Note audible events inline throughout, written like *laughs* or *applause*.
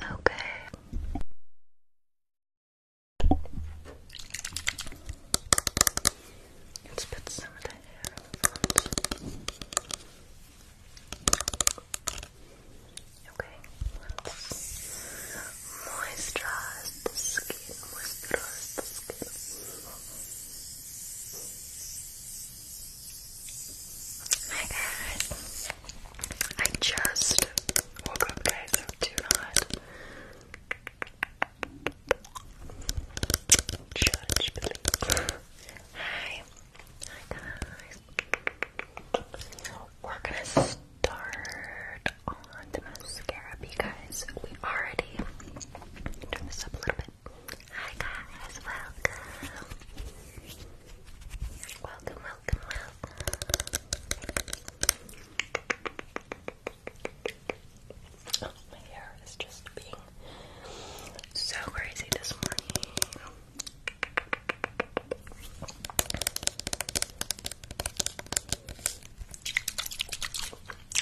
Okay. let put some of Okay, let the skin, moisturize the skin. Hi guys! I just woke up, guys, so do Hi. Hi, guys. We're gonna start on the mascara because we already turn this up a little bit. Hi, guys. Welcome. Welcome, welcome, my hair is just being so crazy this morning.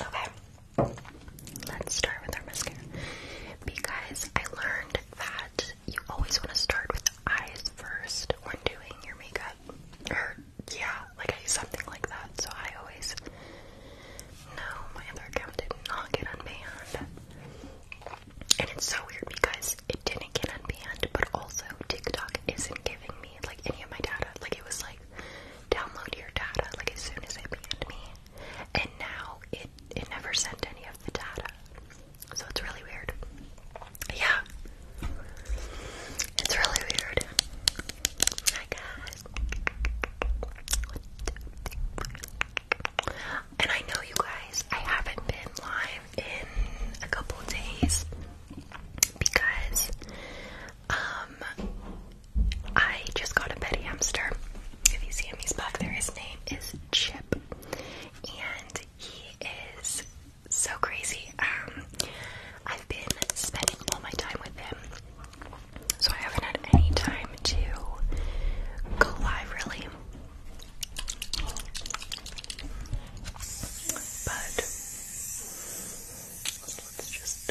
Okay, let's start with our mascara because I learned that you always want to start with the eyes first when doing your makeup. Or, yeah, like something like that. So I always. No, my other account did not get unbanned. And it's so weird because it didn't get unbanned, but also TikTok isn't giving me like any of my data. Like it was like download your data like as soon as it banned me. And now it it never sent any of the data. So it's really weird. Yeah. It's really weird. My God. And I know you guys, I haven't been live in a couple days because um I just got a Betty hamster. If you see him, he's back there. His name is Chip. And he is so crazy. Um, I've been spending all my time with him, so I haven't had any time to go live really. But let's just.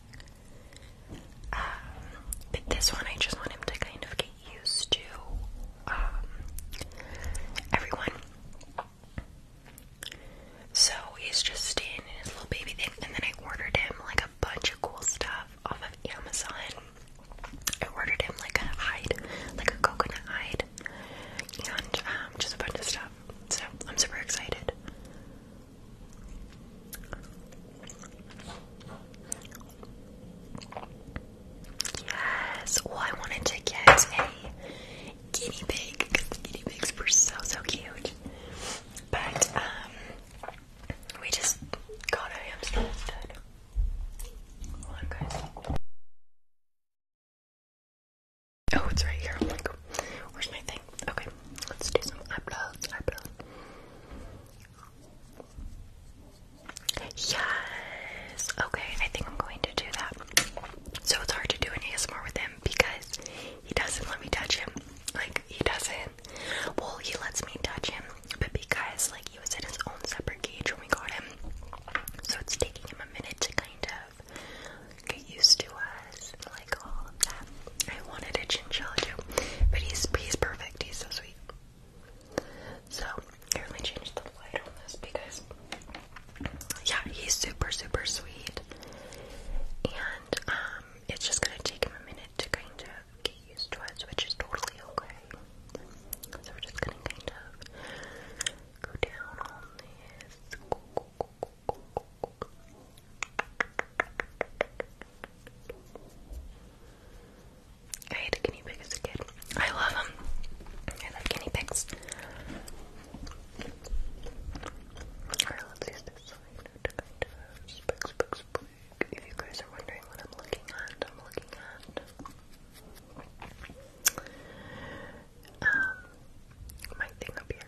Um, but this one, I just want him to kind of get used to um, everyone. So he's just in his little baby thing, and then I ordered him like a bunch of cool stuff off of Amazon. I ordered him like a hide, like a coconut hide, and um, just a bunch of stuff. So I'm super excited. Yes. Well, I wanted to get a guinea pig because guinea pigs were so so cute. But um, we just got a hamster instead. Hold on, guys. Oh, it's right here. I'm like, where's my thing? Okay, let's do some eyebrows. Eyebrows. Yes. Okay, I think I'm going to do that. So it's hard to do any ASMR with him because he doesn't let me touch him. Like he doesn't. Well, he lets me touch him, but because like he was in his own separate cage when we got him, so it's taking him a minute to kind of get used to us, like all of that. I wanted a chinchilla too, but he's he's perfect. He's so sweet. So, I let changed the light on this because, yeah, he's super, super sweet. And, um, it's just gonna take him a minute to kind of get used to us, which is totally okay. So, we're just gonna kind of go down on this. I hated guinea pig as a kid. I love them. I love guinea pigs. Alright, let's use this If you guys are wondering what I'm looking at, I'm looking at um, my thing up here.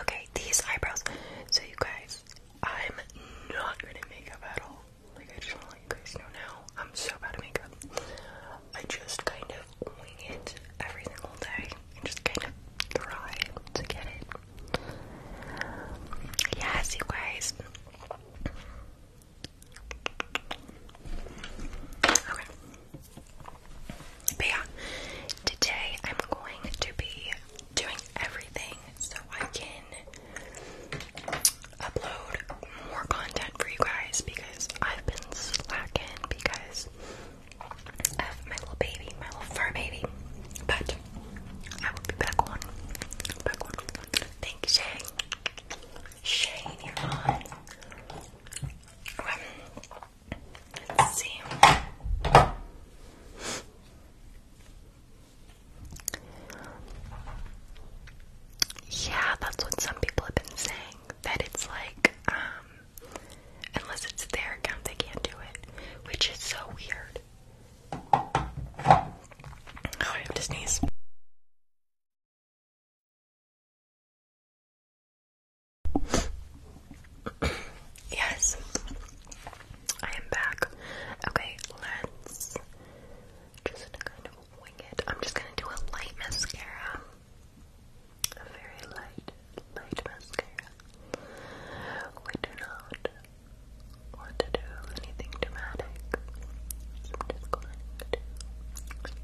Okay, these eyebrows. So you guys, I'm not good at makeup at all. Like I just want to let you guys know now. I'm so bad at makeup. I just kind of wing it every single day and just kind of try to get it. Yes, you guys. But yeah, today I'm going to be doing everything so I can upload more content for you guys because I've been slacking because of my little baby, my little fur baby. But I will be back on. Back on. Thank you, Shane. Shane, you're on let's see. Yeah, that's what some people have been saying. That it's like, um, unless it's their account, they can't do it, which is so weird. I have to sneeze. Yes, I am back. Okay, let's just kind of wing it. I'm just gonna do a light mascara, a very light, light mascara. We do not want to do anything dramatic.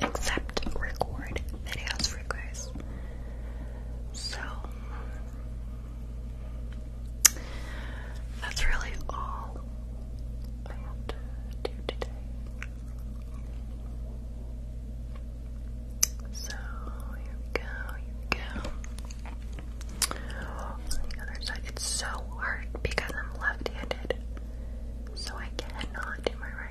except record videos for you guys. So that's really all I have to do today. So here we go, here we go. the other side, it's so hard because I'm left handed, so I cannot do my right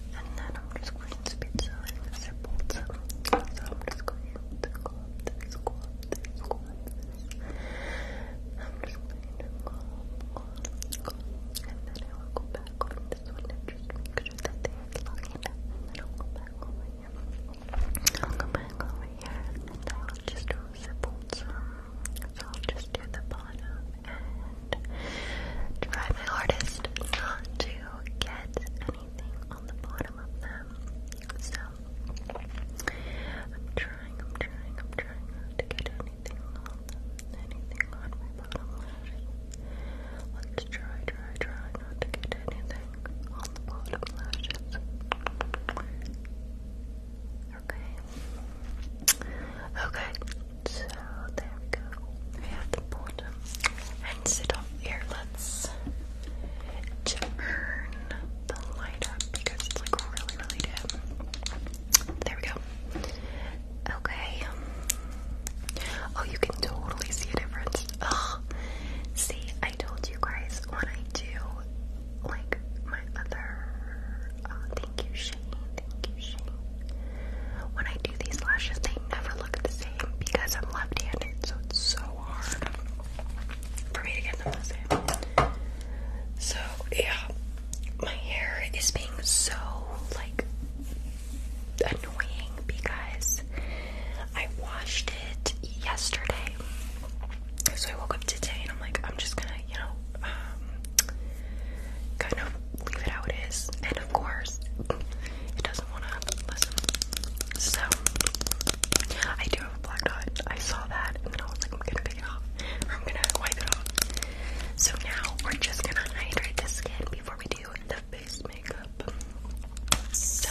And then I'm just going to be so invisible too. So I'm just going to go up this, go up this, go up this. I'm just going to go up, go up, go up. And then I will go back over this one and just make that they are looking up. And I'll go back over here. I'll go back over here and I will just do a So I'll just do the bottom and try my hardest not to get anything on the bottom of them. So I'm trying, I'm trying, I'm trying not to get anything on them, anything on my bottom lashes. Let's try, try, try not to get anything on the bottom lashes. Okay. Okay. So there we go. We have the bottom. And sit up here. Let's turn the light up because it's like really, really dim. There we go. Okay. Oh, you can totally see a difference. See, I told you guys when I do like my other uh, thank you when I do these lashes, they never look the same because I'm left-handed, so it's so hard for me to get them the same. So yeah, my hair is being so like annoying because I washed it yesterday. So I woke up today and I'm like, I'm just gonna, you know, um, kind of leave it how it is. And of course, it doesn't want to listen. So, I do have a black I saw that and then I was like, I'm gonna pick it off. I'm gonna wipe it off. So now we're just gonna hydrate the skin before we do the face makeup. So,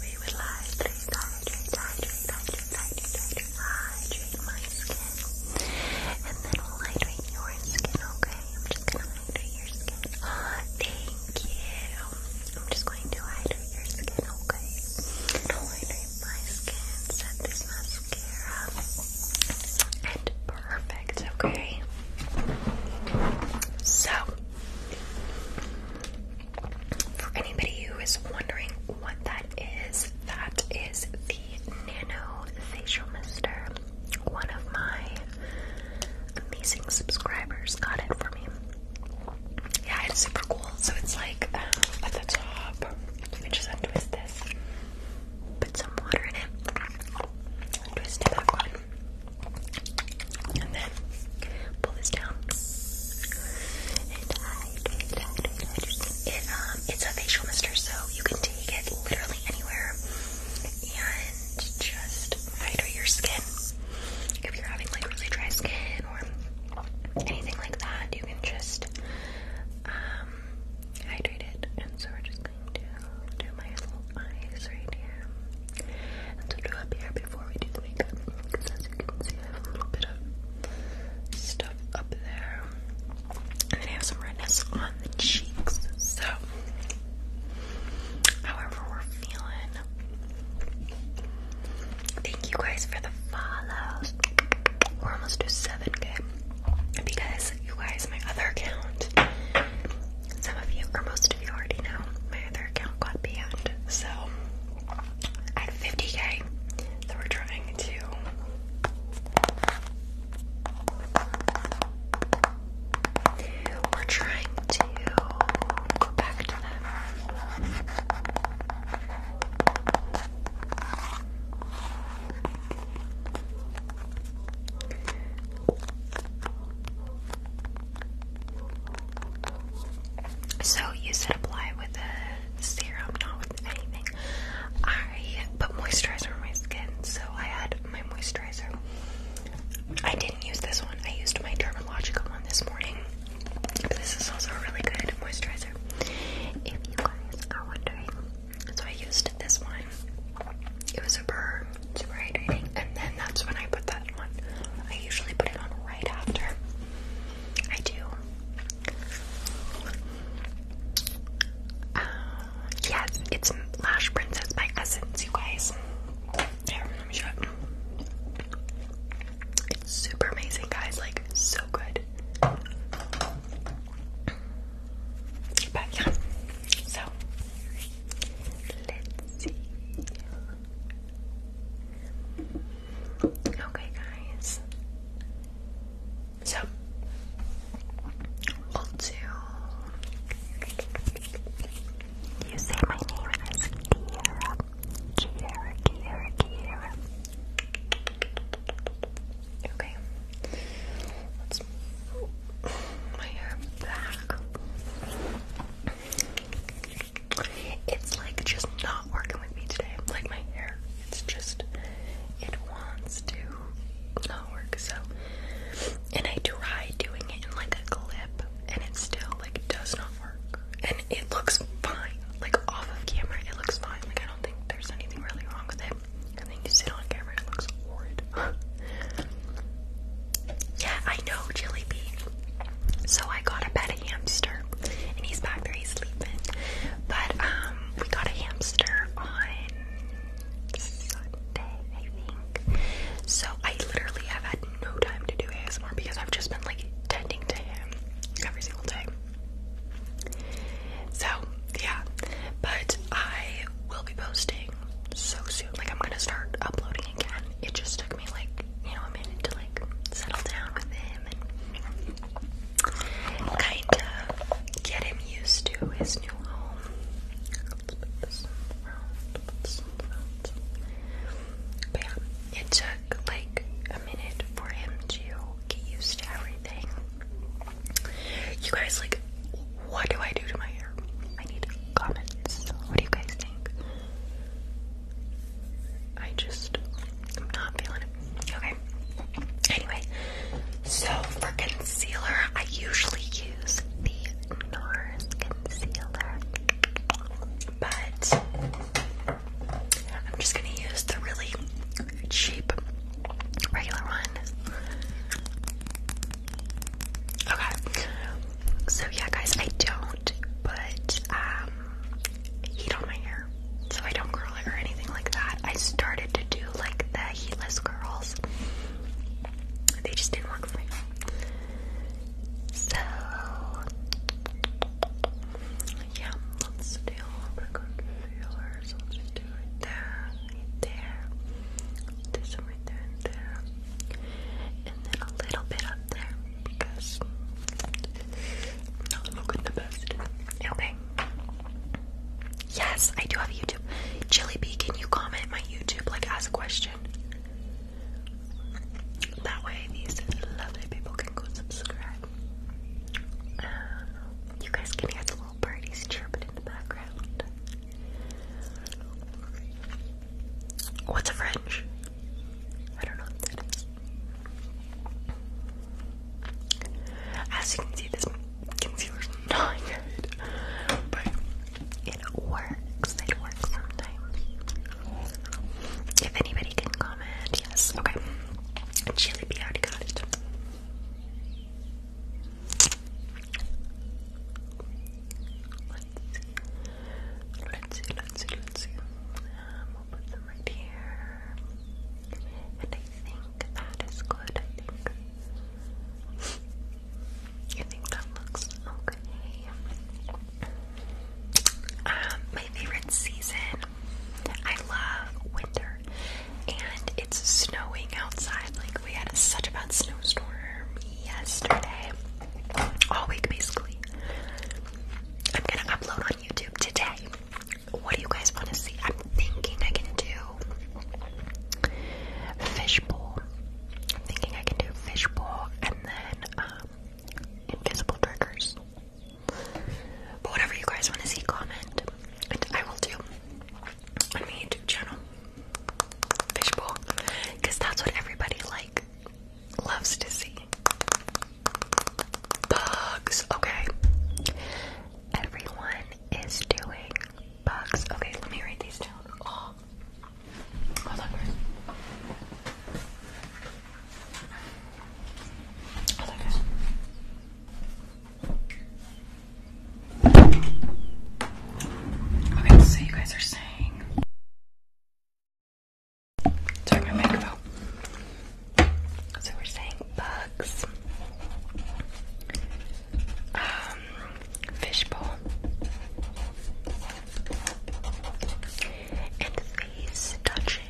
we would like to hydrate, hydrate, hydrate, hydrate, hydrate, hydrate, hydrate, hydrate, my skin, and then we'll hydrate your skin, okay? I'm just gonna hydrate your skin. Oh, *gasps* thank you. I'm just going to hydrate your skin, okay? hydrate my skin, set this mascara, and perfect, okay? So, for anybody who is wondering what that is, that is the Nano Facial Mister one of my amazing subscribers got it for me. Yeah, it's super cool. So it's like um, at the top. Let me just untwist this. Put some water in it. Twist it back And then pull this down. it um, it's a facial mister, so you can take it literally anywhere, and just hydrate your skin. If you're having like really dry skin or anything like that, you can just um, hydrate it. And so we're just going to do my little eyes right here. And to do up here before we do the makeup, because as you can see, I have a little bit of stuff up there. I have some redness on the cheeks. So, however, we're feeling. Thank you guys for the follows. We're almost to 7k. Because you guys, my other account, some of you, or most of you already know, my other account got banned. So, at 50k, so we're trying to we're trying to go back to them. So you said apply with a serum, not with anything. I put moisturizer on my skin, so I had my moisturizer. I didn't use this one. I used my Dermalogica one this morning. this is also really good moisturizer. If you guys are wondering, so I used this one. It was super, super hydrating, and then that's when I put that on. I usually put it on right after. I do. Um, Yes, it's Lash Princess by Essence, you guys. Here, It's super amazing, guys. Like, so good. But yeah, so let's see. Okay, guys. So we'll do. You say my name is Kiara. Kiara, Kiara, Kiara. Okay. Let's my hair back. It's like just not working with me today. Like my hair, it's just, it wants to not work, so and I tried doing it in like a clip and it still like does not work. And it looks fine. Like off of camera it looks fine. Like I don't think there's anything really wrong with it. And then you sit on camera, it looks horrid. *laughs* yeah, I know, Jelly Bean. So I got a pet hamster and he's back there, he's sleeping. But um we got a hamster on Sunday, I think. So I literally have had no time to do ASMR because I've just been like tending to him every single day. So yeah, but I will be posting so soon. Like I'm gonna start uploading again. It just took me like you know a minute to like settle down with him and kind of get him used to his new home it took like a minute for him to get used to everything. You guys, like, what do I do to my hair? I need comments. What do you guys think? I just, I'm not feeling it. Okay. Anyway, so for concealer, I usually use the NARS concealer, but I'm just gonna use the really cheap regular one. Okay. So yeah, guys, I don't put um, heat on my hair, so I don't curl it or anything like that. I started to do like the heatless curls. They just didn't work for me. So yeah, let's do a little concealer. So let's just do there, right there. Do some there and there. And then a little bit up there because I'm looking the best. Okay. Yes, I do have YouTube. Chili Bee, can you comment my YouTube like as a question? That way these lovely people can go subscribe. Um, you guys can hear the little birdies chirping in the background. What's a French? I don't know what that is. As you can see, this concealer's *laughs* but it works. It works sometimes. If anybody can comment, yes. Okay. Chili B already got it. Let's see. Let's see, let's see, um, we'll put them right here. And I think that is good. I think. You think that looks okay? Um, my favorite season. I love winter, and it's snowing outside. Like we had such a bad snowstorm yesterday, all week basically. I'm gonna upload on YouTube today. What do you guys want to see? I'm thinking I can do fishbowl. I'm thinking I can do fishbowl and then um, invisible triggers. But whatever you guys want to see, comment, and I will do on my YouTube channel. Fishbowl, because that's what everybody like loves to see. Bugs. Okay. Everyone is doing bugs. Okay, let me write these down. Oh, hold on Okay, so you guys are saying. Sorry, my microphone. So we're saying bugs um, fishbowl. And face touching.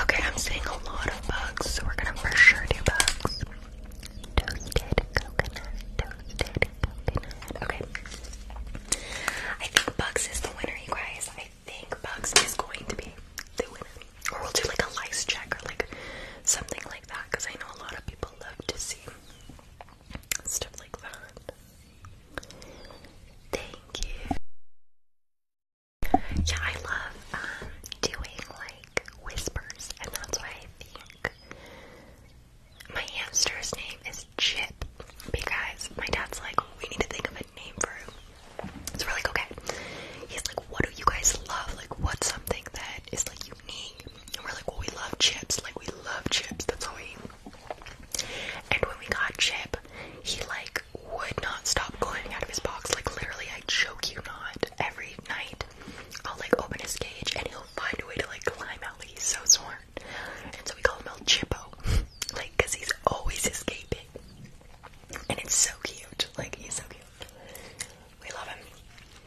Okay, I'm seeing a lot of bugs, so we're gonna for sure do bugs. Toasted coconut, toasted coconut. Okay. I think bugs is the winner, you guys. I think bugs is going to be the winner or we'll do like a lice check or like something like that because I know a lot of people love to see stuff like that. Thank you. Yeah, I love um, doing like whispers, and that's why I think my hamster's name is Chip because my dad's like, we need to think of a name for him. So we're like, okay. He's like, what do you guys love? Like, what's something that is like you and we're like, well, we love chips. Like, we love chips. That's all And when we got Chip, he like would not stop going out of his box. Like, literally, I choke you not. Every night, I'll like open his cage and he'll find a way to like climb out. Like, he's so smart. And so we call him El Chippo. *laughs* Like, because he's always escaping. And it's so cute. Like, he's so cute. We love him.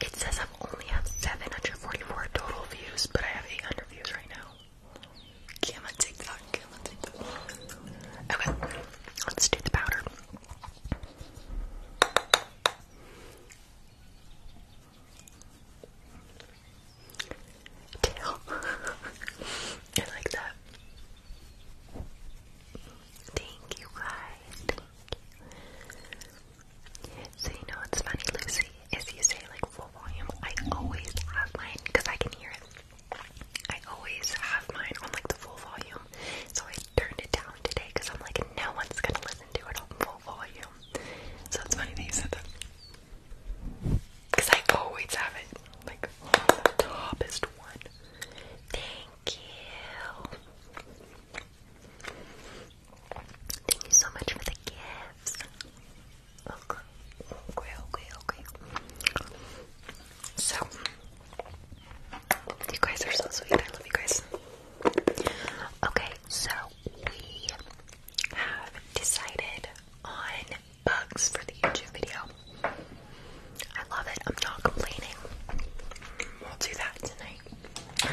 It says I'm only at 744 total views, but I have 800 views right now. Okay, let's do the powder. Tail. *laughs* I like that. Thank you guys. So you know what's funny, Lucy, is you say like full volume. I always have mine because I can hear it. I always have mine on like the full volume. So I turned it down today because I'm like no one's gonna listen to it on full volume. So it's funny that you said that. Cause I always have it like on the toppest one. Thank you. Thank you so much for the gifts. Okay, okay, okay, okay. So, you guys are so sweet. I love you guys. Okay, so we have decided on bugs for the YouTube video. I love it. I'm not complaining. We'll do that tonight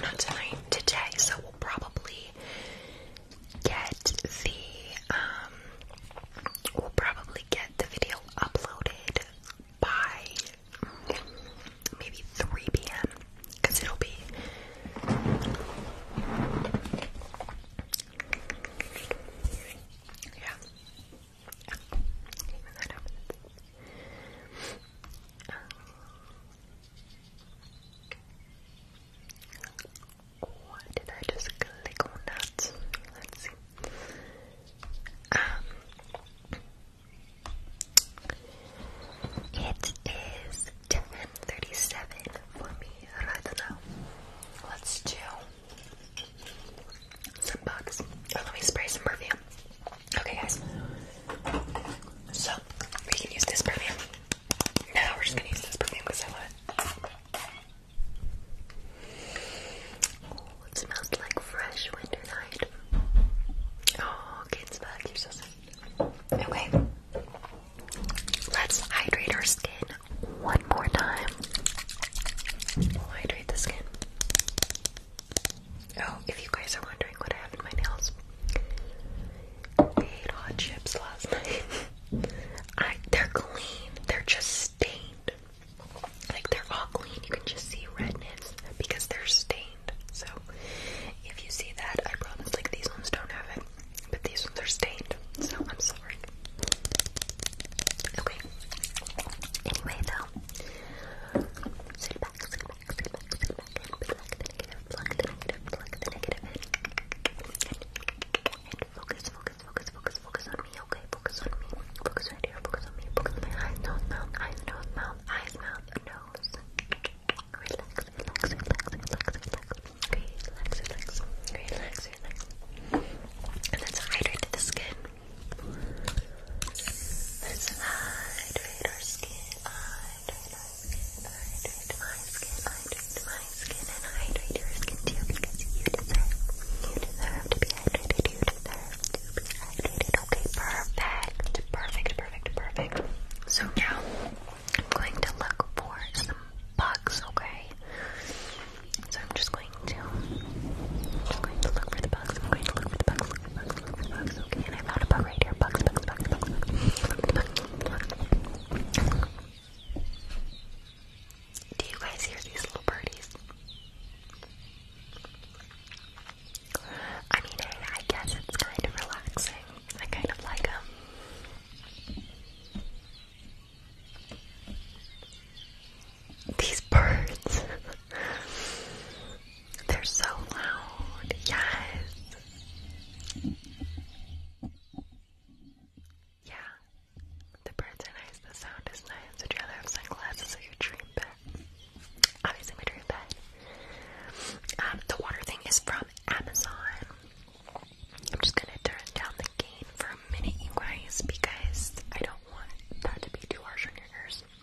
not tonight, today. So we'll probably get the um we'll probably get the video uploaded by maybe 3 p.m. because it'll be yeah. Why did I just click on that? Let's see. Um, it is ten thirty-seven for me. I don't know. Let's do some bugs. let me spray some perfume. Okay, guys. So, we can use this perfume. Now we're just gonna use this perfume because I want. it. Oh, it smells like fresh winter night. Oh, kids back, so sweet. Okay. Let's hydrate our skin one more time. hydrate the skin. Oh, if you guys are wondering what I have in my nails, I ate hot chips last *laughs* night. they're clean. They're just stained. Like they're all clean. You can just see redness because they're stained. So if you see that, I promise like these ones don't have it. But these ones are stained. So I'm sorry. Okay. Anyway though. Sit back, Pluck the negative, pluck focus, focus, focus, focus, focus on me, okay? Focus on me. Focus right here, focus on me. Focus my eyes, nose, mouth, eyes, nose, mouth, eyes, mouth, nose. Relax, relax, relax, relax, relax. Relax, relax, relax, relax. And let's hydrate the skin. Listen, hydrate our skin, hydrate our skin, hydrate my skin, hydrate my skin, and hydrate your skin too you deserve, you deserve to be hydrated, you deserve to be hydrated. Okay, perfect, perfect, perfect, perfect. So now I'm going to look for the bugs, okay? So I'm just going to, I'm going to look for the bugs. I'm going to look for the bugs. I found a bug Do you guys hear these little birdies? I mean, I, I guess it's kind of relaxing. I kind of like them. These birds. *laughs* They're so loud. Yes. Yeah. The birds are nice. The sound is nice. Would you rather have sunglasses or your dream bed? Obviously, my dream bed. Um, the water thing is from Amazon. I'm just gonna turn down the gain for a minute, you because I don't want that to be too harsh on your ears.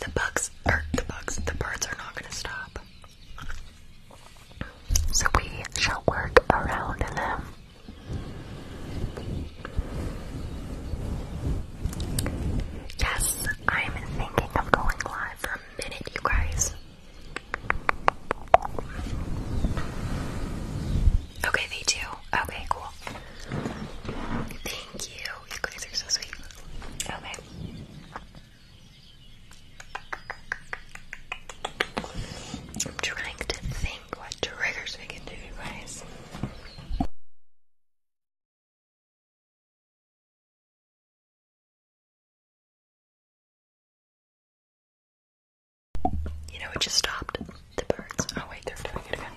The bugs, or the bugs, the birds are not gonna stop. So we shall work around them. Yes, I'm thinking of going live for a minute, you guys. Okay, they do. Okay, cool. Thank you. Oh, okay. I'm trying to think what triggers we can do, guys. You know, it just stopped. The birds. Oh wait, they're doing it again.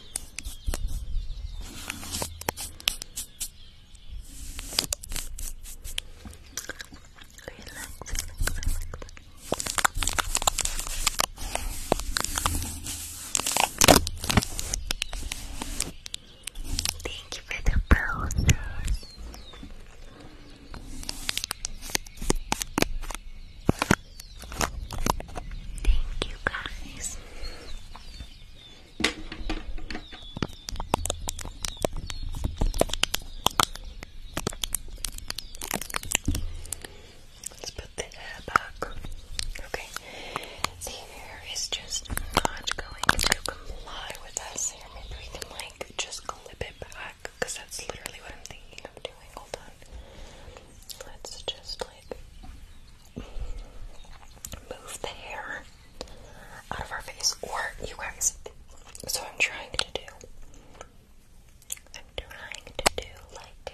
Thank you for the roses. Thank you guys. Let's put the hair back. Okay. The hair is just not going to comply with us here. Maybe we can like just clip it back because that's literally what I'm thinking of doing. Hold on. Let's just like move the hair out of our face. Or you guys, so I'm trying to do. I'm trying to do like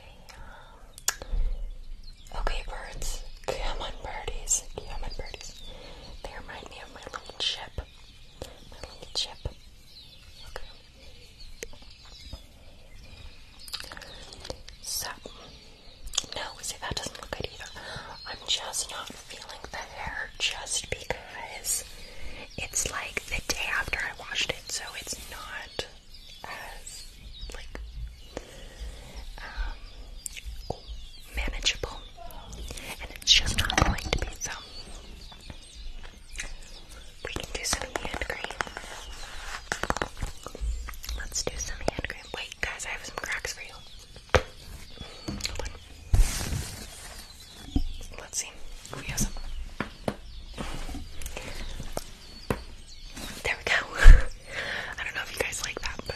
um, okay birds, come on birdies, come on birdies, they remind me of my little chip, my little chip, okay, so, no, see that doesn't look good either. I'm just not feeling the hair just because it's like the day after I washed it, so it's not as like um, manageable. And it's just not going to be so we can do some hand cream. Let's do some hand Wait, guys, I have some cracks for you. Let's see. There we go. *laughs* I don't know if you guys like that, but.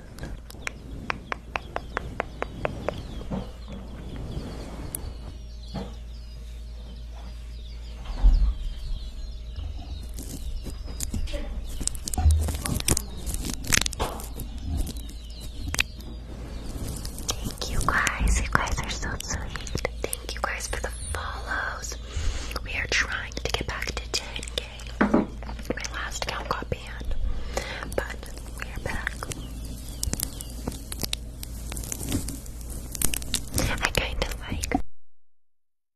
Thank you guys. You guys are so sweet. Thank you guys for the follows. We are trying to get back to 10k. My last count got band. But we're back. I kinda like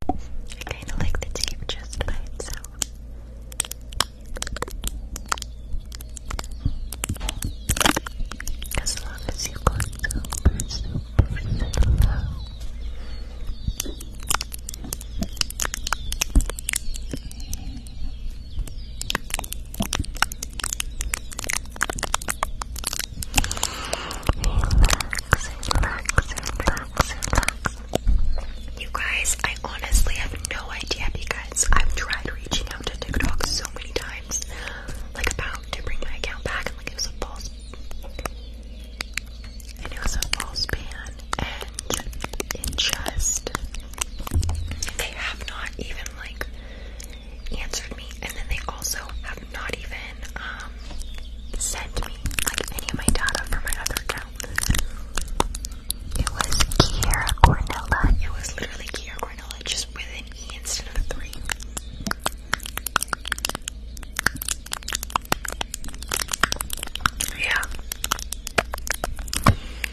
I kinda like the tape just by itself. As long as you go super, relax, You guys, I honestly have no idea because I've tried reaching out to TikTok so many times, like about to bring my account back, and like it was a false, it was a false ban and it just they have not even like answered me and then they also have not even um sent me like any of my data for my other account. It was Kiera Cornella. It was literally Kiera Cornella just with an E instead of a three. Yeah.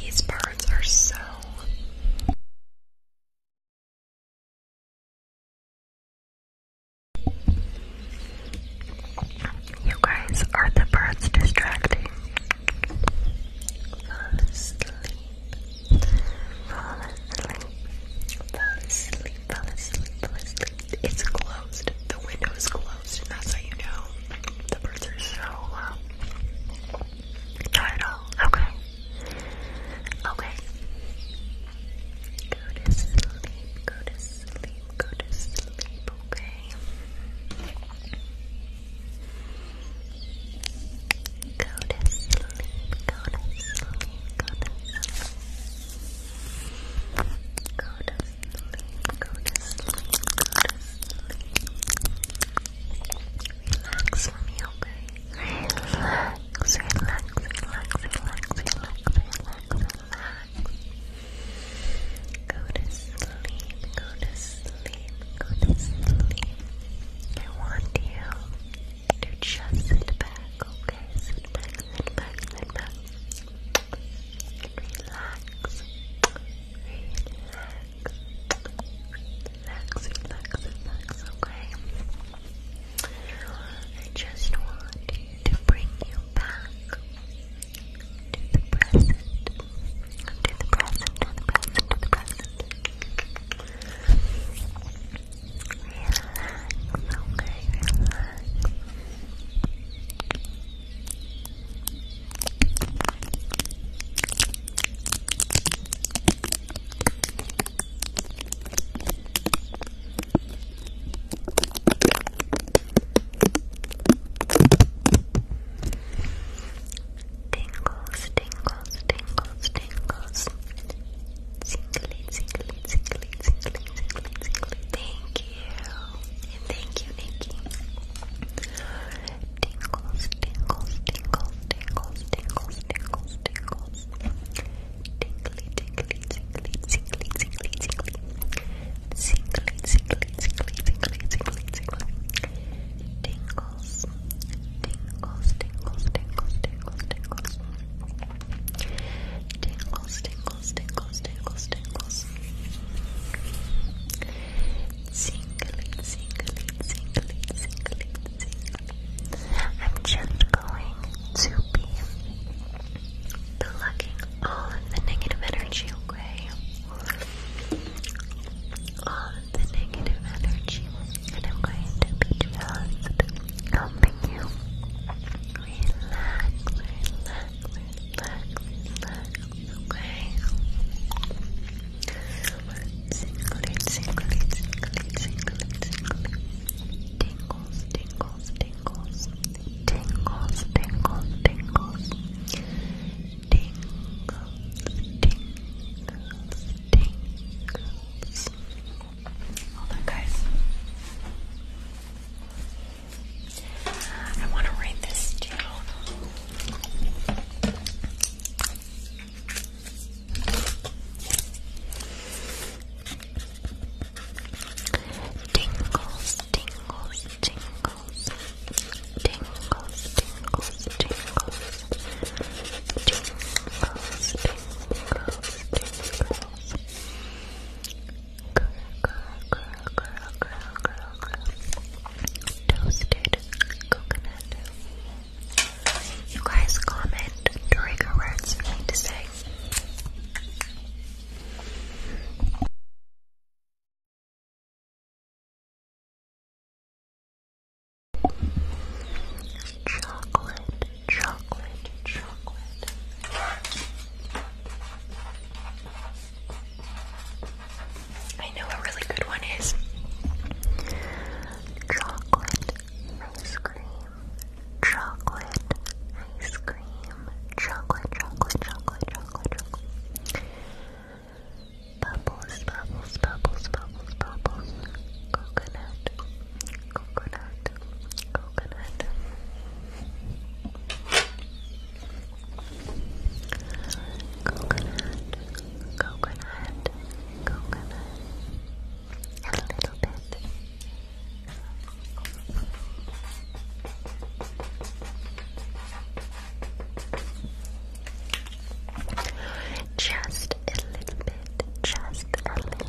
These birds are so. You guys are the birds distracting. It's closed. The window is closed, and that's how you know the birds are so low. Uh, Not at all. Okay. Okay. Go to sleep, go to sleep, go to sleep, okay? Go to sleep, go to sleep, go to sleep. Go to sleep, go to sleep, go to sleep. Relax for Relax, relax, relax, relax, relax, relax, relax. Go to sleep, go to sleep, go to sleep. I want you to just sit back, okay? Sit back, sit back, sit back. Relax. Relax. Relax, relax, relax, okay? I just want you to bring you back to the present. To the present, to the present, to the present okay, relax. Tingles, tingles, tingles, tingles. Tingly, tingly, tingly, tingly, tingly, tingly. Thank you. And thank you, Nikki. Tingles, tingles, tingles, tingles, tingles, tingles, tingles. Tingly, tingly, tingly, tingly, tingly, tingly. Tingly, tingly, tingly, tingly, tingly, tingly. Tingles. Tingles, tingles, tingles, tingles, tingles. Tingles, tingles, tingles, tingles, tingles. Singly, singly, singly, singly, singly. I'm just going to be plucking all of the negative energy away. All of the negative energy. And I'm going to be just helping you relax, relax, relax, okay? Tingly, tingly, tingly, tingly, tingly. Tingles, tingles, tingles. Tingles, tingles, tingles. Tingles, tingles, tingles. Hold on, guys. I want to write this down. Tingles, tingles, tingles, tingles, tingles, tingles, tingles, tingles, tingles. Girl, girl, girl, girl, girl, girl. Toasted coconut. You guys comment trigger words for me to say. Chocolate, chocolate, chocolate. I know a really good one is chocolate ice cream, chocolate ice cream, chocolate, chocolate, chocolate, chocolate, chocolate. Bubbles, bubbles, bubbles, bubbles, bubbles. Coconut, coconut, coconut. Coconut, coconut, coconut. A little bit. Just a little bit, just a little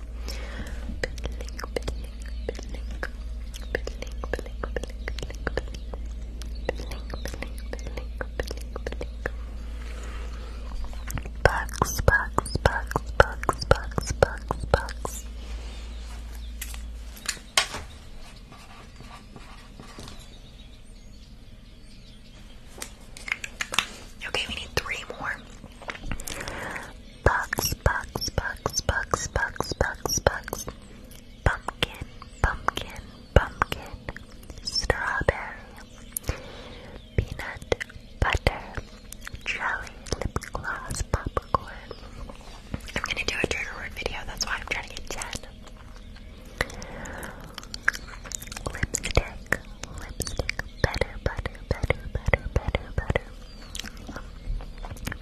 Bugs, bugs, bugs, bugs, bugs, bugs, bugs. Okay, we need three more. Bugs, bugs, bugs, bugs, bugs, bugs, bugs. Pumpkin, pumpkin, pumpkin. Strawberry. Peanut butter. Jelly, lip gloss, popcorn. I'm gonna do a trigger word video, that's why I'm trying to get 10. Lipstick, lipstick, better, better, better, better, better, better. Better, better,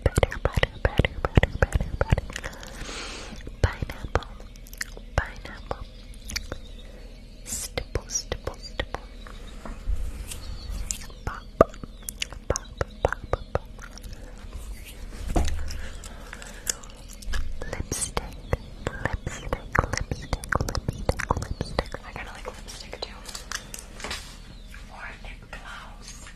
better, better, better, better. Pineapple, pineapple. Stipple, stipple, stipple. Pop, pop, pop, pop, pop. Lipstick, lipstick, lipstick, lipstick, lipstick. I gotta like lipstick lipstick too. Or lip gloss.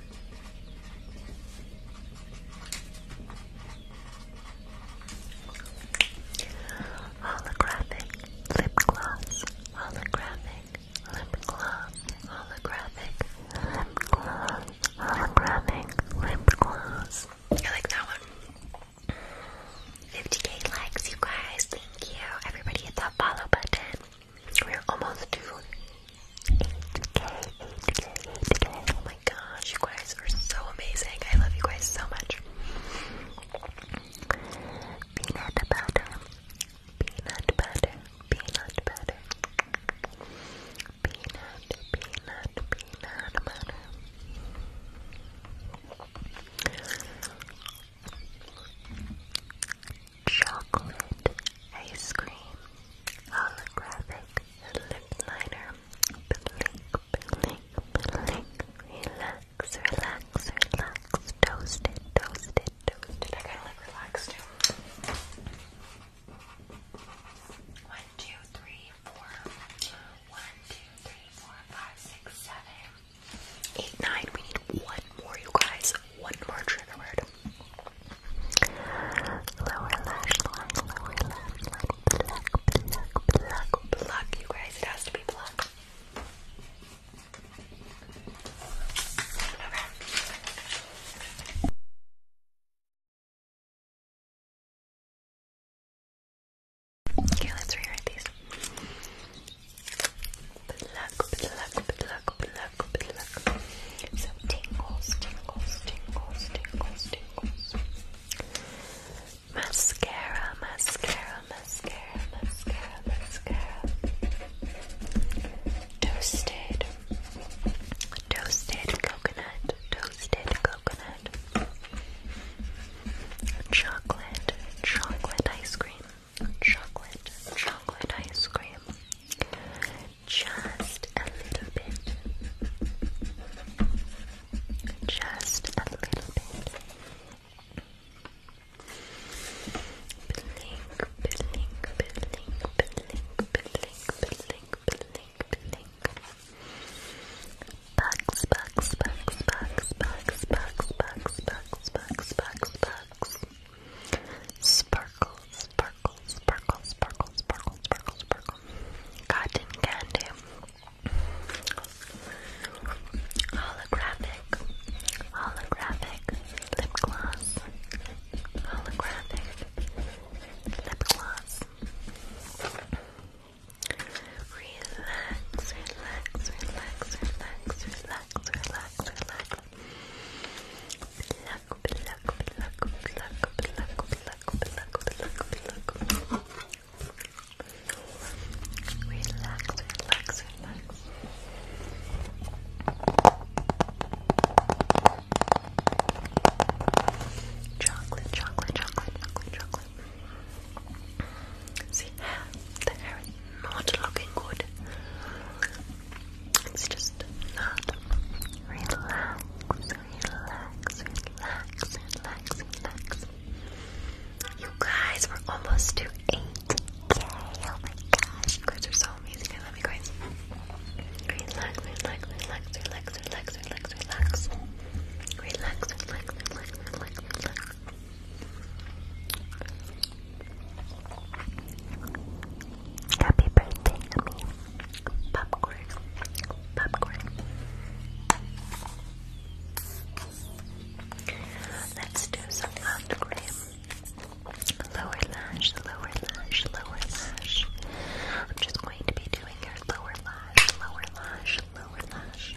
Holographic lip gloss. Holographic lip gloss. Holographic lip gloss. Holographic lip gloss. I like that one. 50k likes, you guys. Thank you. Everybody hit that follow button. We're almost to 8 k Oh my gosh, you guys are so amazing. I love you guys so much. Peanut butter, peanut butter, peanut butter. Peanut, peanut, peanut butter. Chocolate ice cream, holographic lip liner, blink, blink, blink, relax, relax, relax, toasted, toasted, toasted. I kinda like too. One, two, three, four. One, two, three, four, five, six, seven eight, nine. We need one more, you guys. One more trigger word. Lower lash line, lower lash line. Pluck, pluck, You guys, it has to be pluck. Okay, let's rewrite these. tingles, tingles, tingles, tingles, tingles. Mascara, mascara, mascara, mascara, mascara. Toasted, toasted coconut, toasted coconut. Chocolate, chocolate ice cream chocolate, chocolate ice cream. Just a little bit. Just a little bit. Blink, blink, blink, blink, blink, blink, blink, blink. Bugs, bugs, bugs, bugs, bugs, bugs, bugs, bugs, sparkle, sparkle, sparkles. Sparkle, sparkle, sparkle, sparkle, sparkle, candy. Holographic. Holographic. Lip gloss. Holographic. Lip gloss. Relax, relax, relax, relax, relax, relax, relax. Pluck, pluck, pluck, pluck, pluck, pluck, pluck, pluck, pluck. Relax, relax, relax. Chocolate, chocolate, chocolate, chocolate, chocolate. See, the hair is not looking good. It's just not. Relax, relax, relax, relax, relax. You guys, we're almost to 8k. my gosh, you guys are so amazing. I love you guys. Relax, relax, relax, relax, relax, relax, relax. Relax, relax, relax, relax, Happy birthday, Emmy. Popcorn. Popcorn. Let's do some hand cream. Lower lash, lower lash, lower lash. I'm just going to be doing your lower lash, lower lash, lower lash.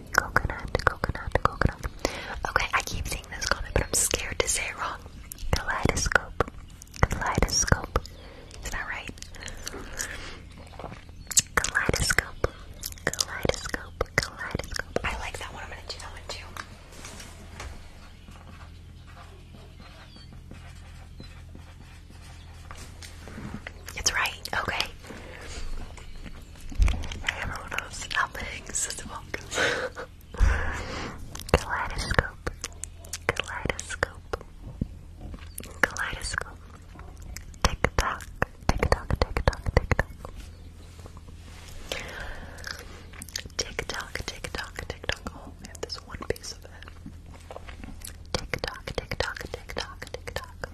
Coconut, coconut, coconut. Okay, I keep seeing this comment, but I'm scared to say it wrong. Kaleidoscope. Kaleidoscope. Is that right? Kaleidoscope. Kaleidoscope. Kaleidoscope. I like that one. I'm gonna do that one too. It's right, okay. Remember when I was Kaleidoscope. Kaleidoscope. Kaleidoscope. Tick tock. Tick tock. Tick tock. Tick tock. Tick tock. Tick tock. one piece of it. Tick tock. Tick tock.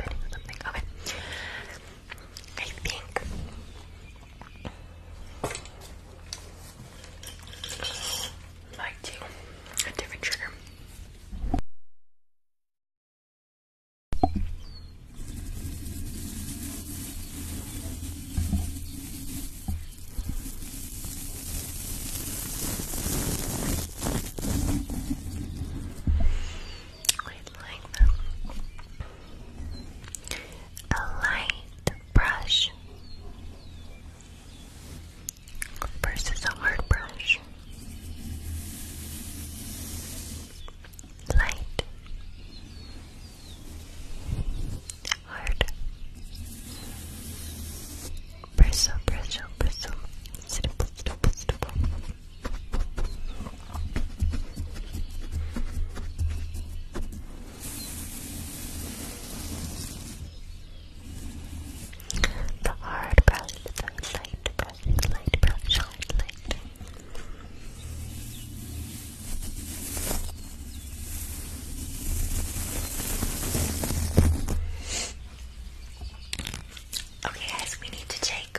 Okay. I think might do a different trigger. Quite like them. A light brush versus a hard brush. Light, hard, bristle, bristle, bristle, simple, simple, simple. The hard brush, the light brush, light brush, hard light. Okay, guys, we need to take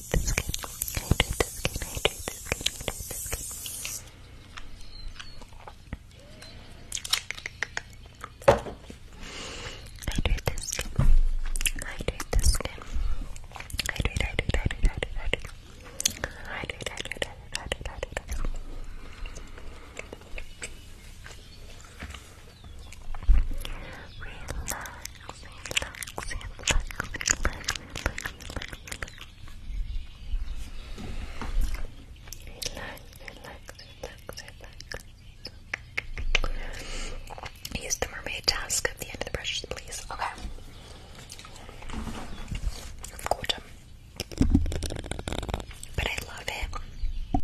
hydrate the skin, hydrate the skin, hydrate the skin, hydrate the skin. Hydrate the skin, hydrate the skin. Hydrate, hydrate, hydrate, hydrate, hydrate. Hydrate, hydrate, hydrate, hydrate, hydrate. Relax relax. Use the mermaid task at the end of the brushes, please. Okay. But I love it.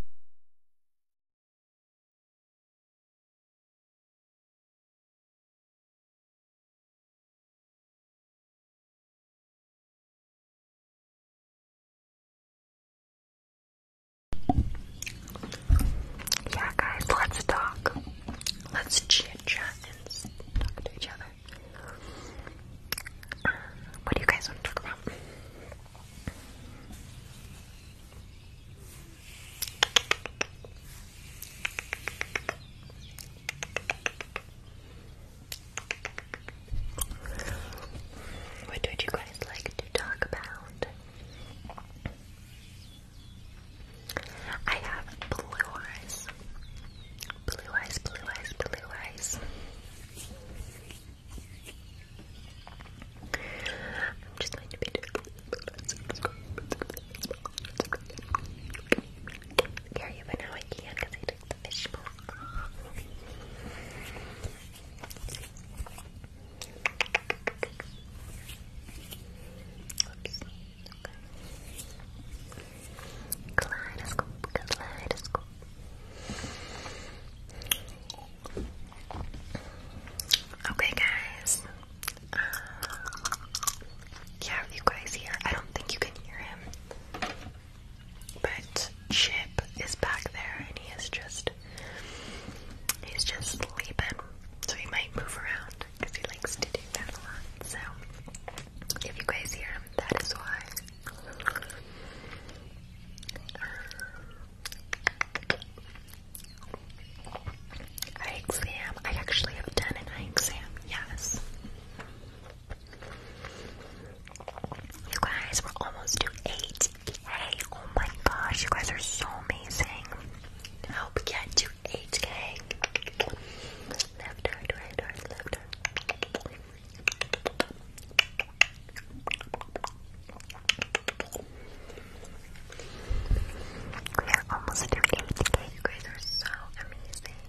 Yeah, guys, let's talk. Let's chit chat and talk to each other. Uh, what do you guys want to talk about? What would you guys like to talk about? I have blue eyes. Blue eyes, blue eyes, blue eyes. Carry it, but now I can because I took the fish mask off. Oops. Okay. Kaleidoscope, kaleidoscope. Okay, guys, um, yeah, you guys hear? I don't think you can hear him. But Chip is back there and he is just he's just sleeping. So he might move around because he likes to do that a lot. So if you guys hear him, that is why. Um, Eye exam. I actually have done an eye exam, yes. You guys, we're almost to 8K. Oh my gosh, you guys are so amazing. Help get to 8K. Left right, right right, left right. We are almost to 80k. You guys are so amazing.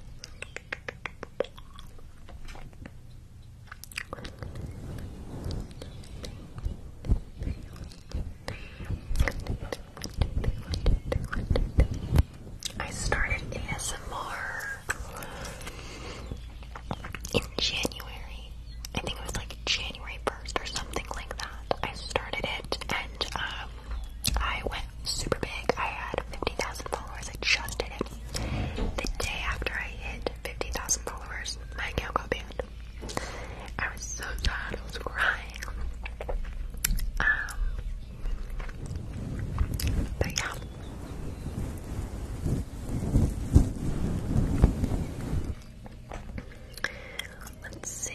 I started ASMR in January. I think it was like January 1st or something like that. I started it and um, I went super big. I had 50,000 followers. I just did it. The day after I hit 50,000 followers, my account got banned. I was so sad. I was crying. Um, but yeah. Let's see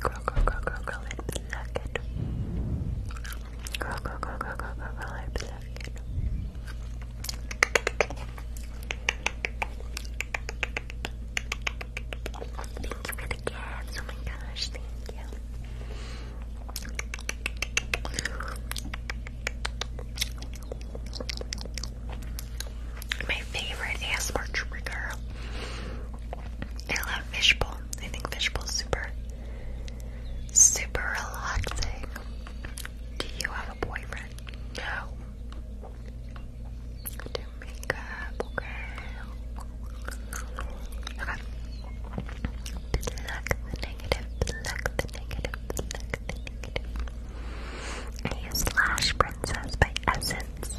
Grow, grow, grow, grow, grow it, pluck it. Grow, grow, grow, grow, grow, grow, grow it, pluck it. Thank you for the gifts, oh my gosh, thank you. My favorite ASMR trigger. I love fishbowl I think is super, super relaxing. Do you have a boyfriend? No. Do makeup, okay. Okay. Pluck the the negative, I use Lash Princess by Essence.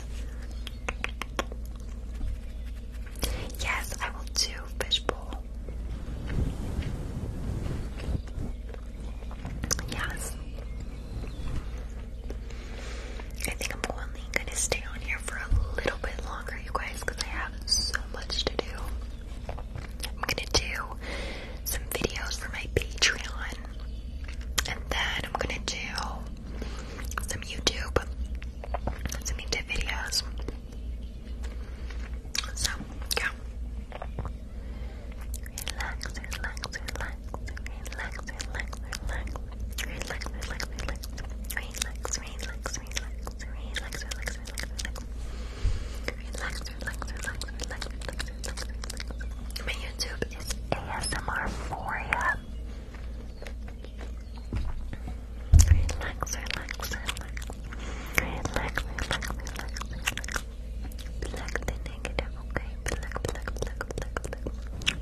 Yes, I will do fishbowl. Yes. I think I'm only gonna stay on here for a little bit longer, you guys, because I have so much to do. I'm gonna do some videos for my Patreon, and then I'm gonna do some YouTube to me two videos. So, yeah. Relax, relax, relax, relax, relax, relax, relax, relax, relax, relax, relax, relax, relax, relax, relax, relax, relax. Relax, relax, relax, relax, relax, relax, relax. My YouTube is ASMR Foria. Relax, relax, relax. Relax, relax, relax, relax. Black the negative, okay? Black, black, black, black, black.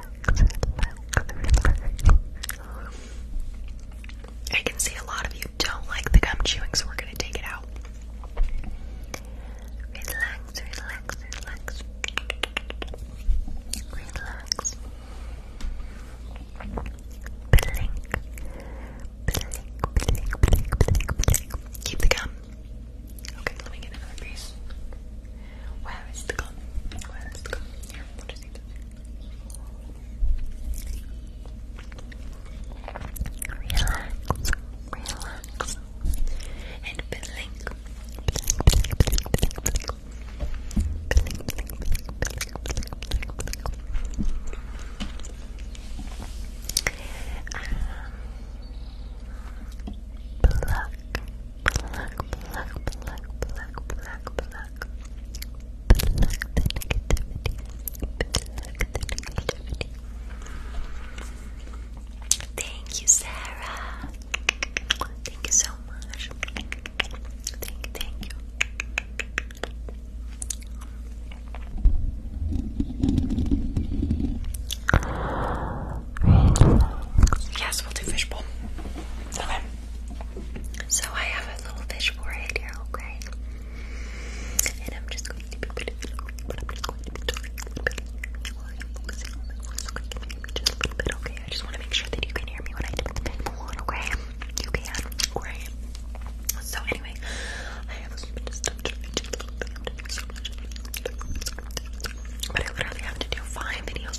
I can see a lot of you don't like the gum chewing, so we're gonna take it out. Relax, relax, relax. Relax. Blink. Blink, blink, blink, blink, blink. Keep the gum. Okay, let me get another piece. Where is the gun? Where is the gun? Here, Relax, relax, and blink, Pluck, pluck, pluck, pluck, pluck, pluck, pluck. Pluck the Thank you, Sarah. Thank you so much. Thank you, thank you. Yes, we'll do fishbowl. Okay. So I have a little fish forehead here, okay? And I'm just going to be but I'm just going to be talking just a little bit, okay? I just want to make sure that you can hear me when I put the pinball okay? You can, right? So anyway, I literally have to do five videos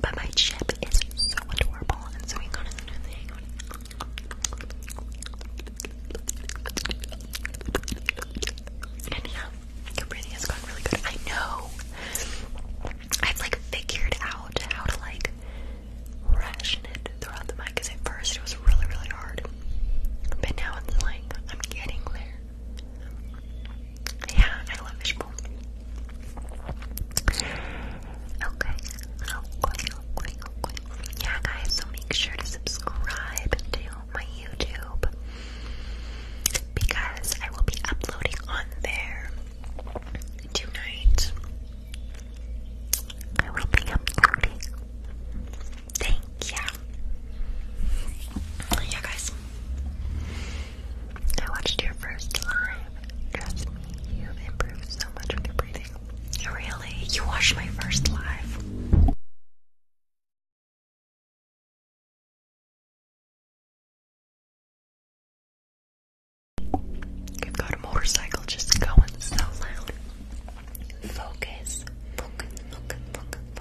but my chip is so adorable, and so we got it and they And yeah, Cabrini has gone really good. I know. I've like figured out how to like ration it throughout the mic because at first it was really, really hard. But now it's like I'm getting there. Yeah, I love fishbowl. Okay, okay, okay, okay. Yeah, guys, so make sure to subscribe to my YouTube because I will be uploading on there tonight. I will be uploading. Thank you. Yeah, guys. I watched your first live. Trust me, you've improved so much with your breathing. Really? You watched my first live? You've got a motorcycle just going so loud. Focus, focus, focus, focus,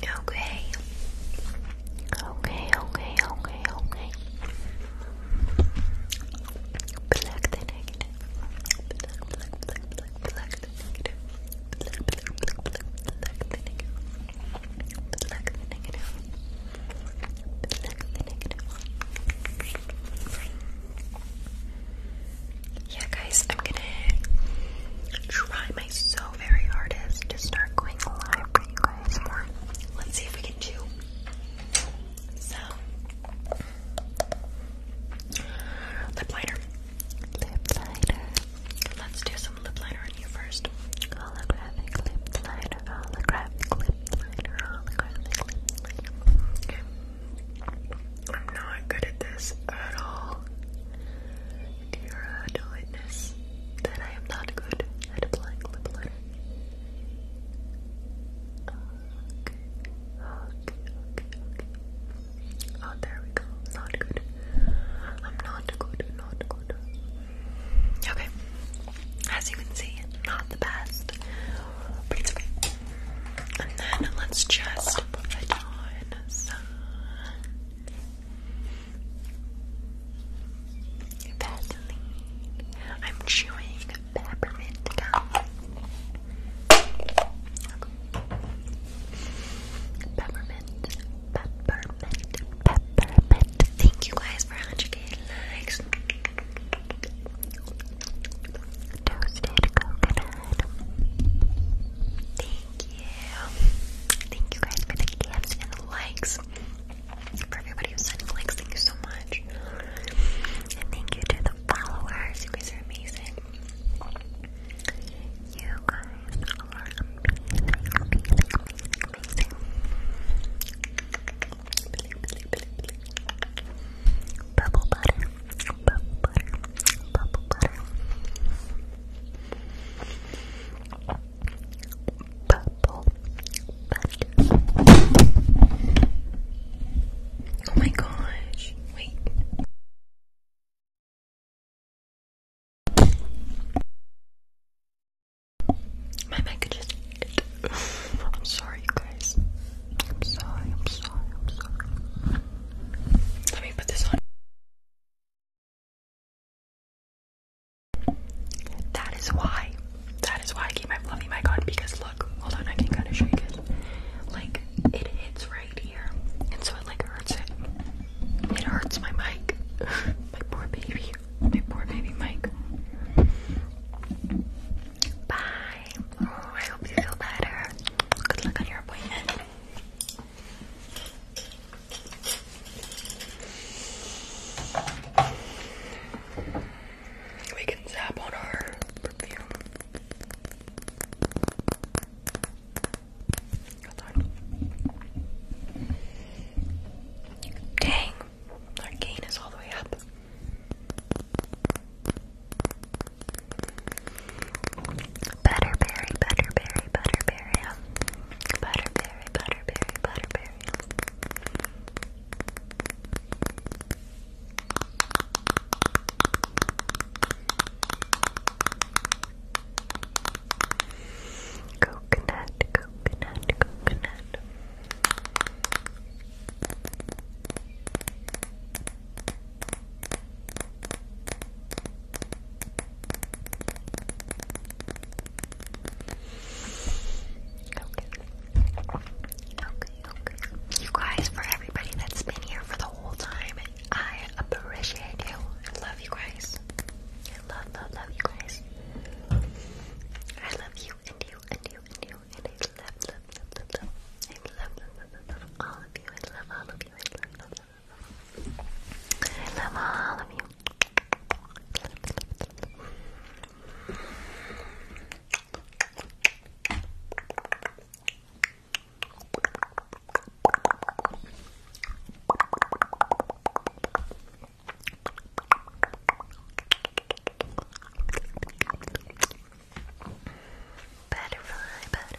Okay. Okay, okay, okay, okay. Black the negative. Black, black, black, black, black the negative. Black, black, black, black, black the negative. Black the negative. Black the yeah, guys, I'm gonna try my so very hardest to start going live for more. Let's see if we can do. So, lip liner. Lip liner. Let's do some lip liner on you first. lip liner, lip liner, lip liner. I'm not good at this at all. And you are that I am not good at applying lip liner. Okay, okay, okay, okay. Oh, there we go. Not good. I'm not good, not good. Okay. As you can see, not the best. But it's okay. And then let's just put on some Vaseline. I'm chewing peppermint gum. Peppermint, peppermint, peppermint. Thank you guys for 100k likes. Toasted coconut. Thank you. Thank you guys for the gifts and the likes. For everybody who's sending likes, thank you so much. And thank you to the followers. You guys are amazing. You are amazing. Bubble butter, bubble butter, bubble butter. Purple Oh my gosh, wait. My mic just *sighs* I'm sorry, you guys. I'm sorry, I'm sorry, I'm sorry. Let me put this on. That is why. That is why I keep my fluffy mic on because look, hold on, I can kind of shake it. Like it hits right here, and so it like hurts it. It hurts my mic. *laughs* my poor baby. My poor baby mic. Bye. Oh, I hope you feel better. Good luck on your appointment. We can zap on our perfume. Dang, our gain is all the way up. Butterberry, butterberry, butterberry. Butterberry, butterberry, butterberry. Coconut, coconut, coconut. Okay, okay. You guys, for everybody that's been here for the whole time, I appreciate you. I love you guys. I love, love, love you guys. I love you and you and you and you and I love, love, love, love, love. I love, love, love, love, love all of you. I love all of you. I love, love, I love all of you. Butterfly, butterfly,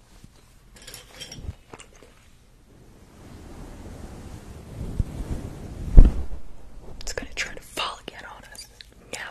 It's gonna try to fall again on us. Now.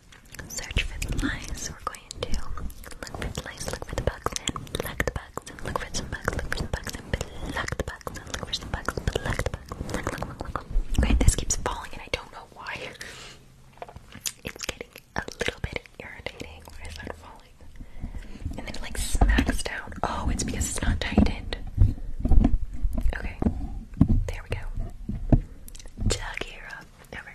search for the lice. We're going to look for the lice, look for the bugs, and pluck the bugs, and look for some bugs, look for some bugs, and pluck the bugs, and look for some bugs, pluck the bugs, look, look, look, look, look. Okay, this keeps falling, and I don't know why. *laughs* It's getting a little bit irritating when I start falling. And then it like smacks down. Oh, it's because it's not tightened. Okay. There we go. Tug here up. Over.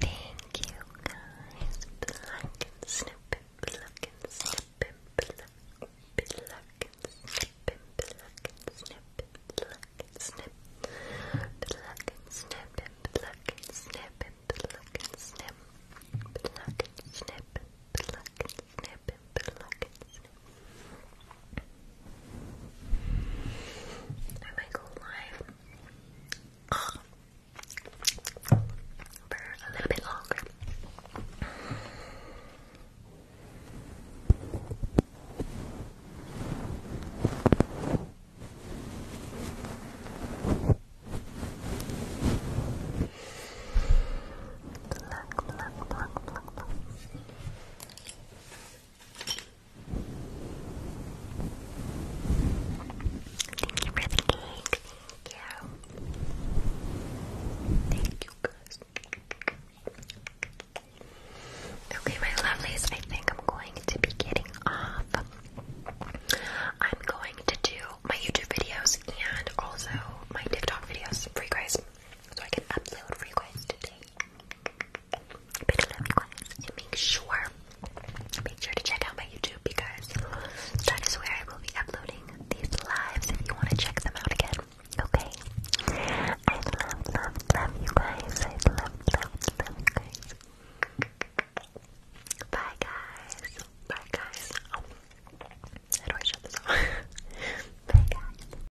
Thank you guys. Pluck and snip and pluck and snip and pluck. Pluck and snip and pluck and snip and pluck and snip. Pluck and snip and pluck and snip and pluck and snip. Pluck and snip and pluck and snip and pluck and snip. I might go live for a little bit longer. Pluck, pluck, pluck, pluck, pluck. Thank you for the cake. Thank you. Thank you, guys. Okay, my lovelies, I think I'm going to be getting off. I'm going to do my YouTube videos and also my TikTok videos for you guys so I can upload for you guys today. I love you guys. make sure, make sure to check out my YouTube because that is where I will be uploading these lives if you want to check them out again. Okay? I love, love, love you guys. I love, love, love you guys. Bye, guys. Bye, guys. How oh. do I shut this off? Bye, guys.